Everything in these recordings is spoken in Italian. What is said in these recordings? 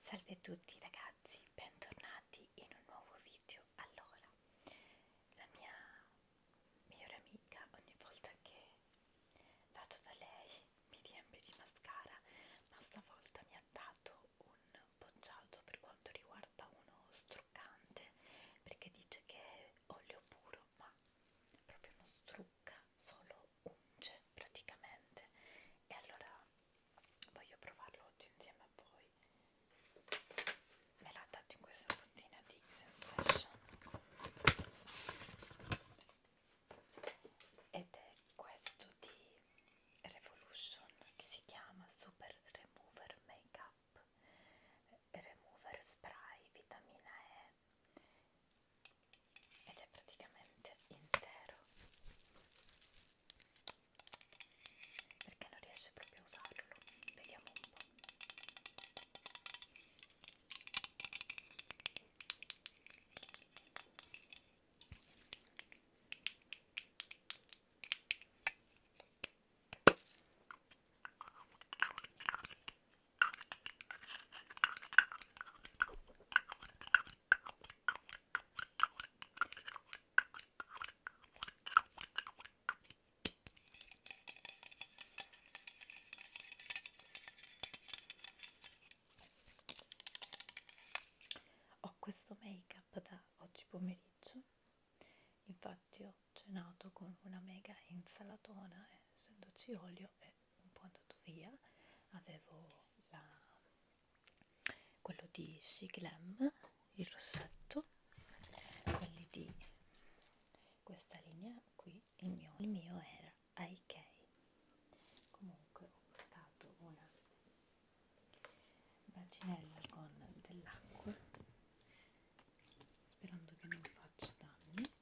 Salve a tutti ragazzi, bentornati in un nuovo video. Allora, la mia migliore amica ogni volta che vado da lei mi riempie di mascara, ma stavolta mi ha dato un bocciato per quanto riguarda uno struccante, perché dice che è olio puro, ma proprio non strucca, solo lo cioè, unge praticamente e allora voglio provarlo oggi insieme a voi me l'ha dato in questa bustina di Sensation ed è questo di Revolution che si chiama Super Remover Makeup Remover Spray Vitamina E ed è praticamente intero perché non riesce proprio a usarlo vediamo un po' Ho questo make up da oggi pomeriggio, infatti ho cenato con una mega insalatona, eh, essendoci olio e un po' andato via avevo la, quello di Siglam il rossetto quelli di questa linea qui il mio, il mio era IK comunque ho portato una bacinella con dell'acqua sperando che non faccia danni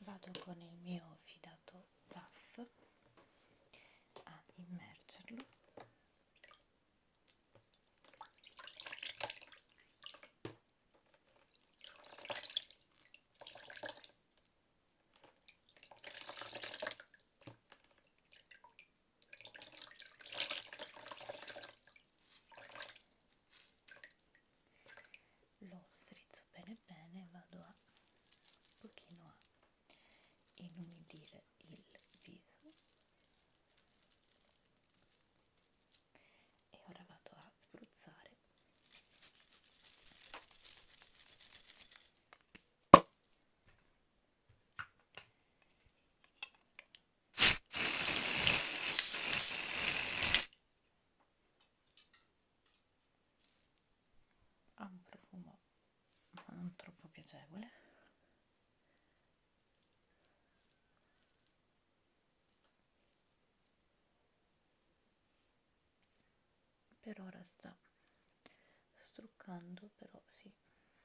vado con il mio fidato puff a immergerlo lo strizzo bene bene e vado a un pochino a inumidire il viso e ora vado a spruzzare ha un profumo non troppo piacevole per ora sta struccando però sì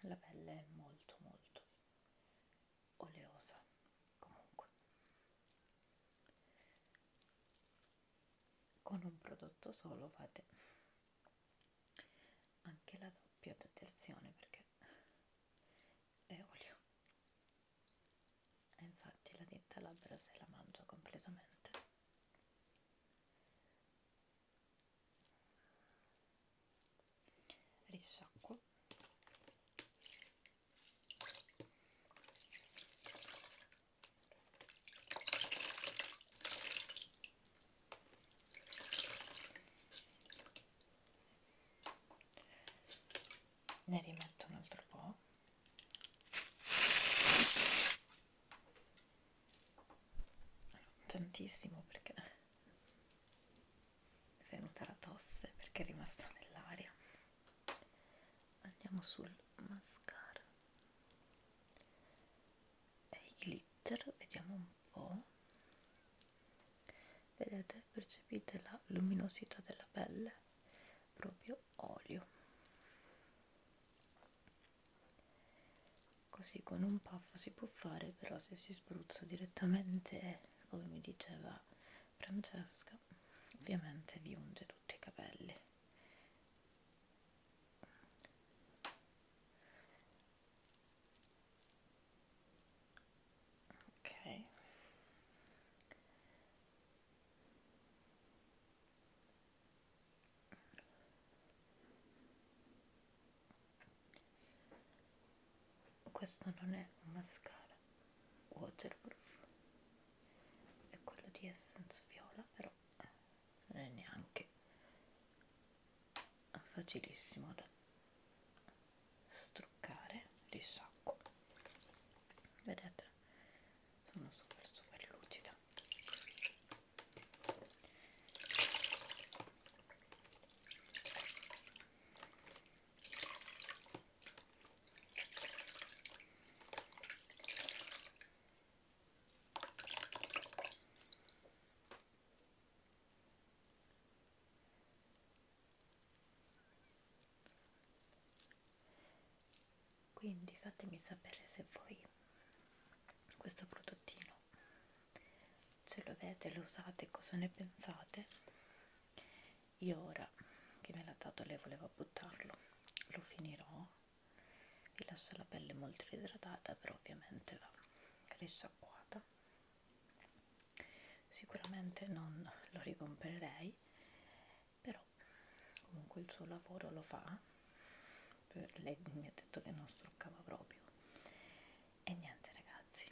la pelle è molto molto oleosa comunque con un prodotto solo fate anche la doppia detersione perché è olio e infatti la tinta labbra se la mangio completamente risciacquo ne rimetto un altro po' tantissimo perché è venuta la tosse perché è rimasta nell'aria andiamo sul mascara e i glitter vediamo un po' vedete percepite la luminosità della pelle proprio olio così con un puff si può fare però se si spruzza direttamente come mi diceva Francesca ovviamente vi unge tutti i capelli ok questo non è un mascara waterproof è quello di essence viola però non è neanche facilissimo da struccare, risciacquo vedete sono super super lucida quindi fatemi sapere se voi questo prodottino se lo avete, lo usate, cosa ne pensate io ora che me l'ha dato lei voleva buttarlo lo finirò vi lascio la pelle molto idratata però ovviamente va risciacquata sicuramente non lo ricomprerei però comunque il suo lavoro lo fa per lei mi ha detto che non struccava proprio e niente ragazzi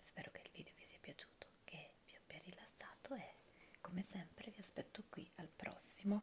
spero che il video vi sia piaciuto che vi abbia rilassato e come sempre vi aspetto qui al prossimo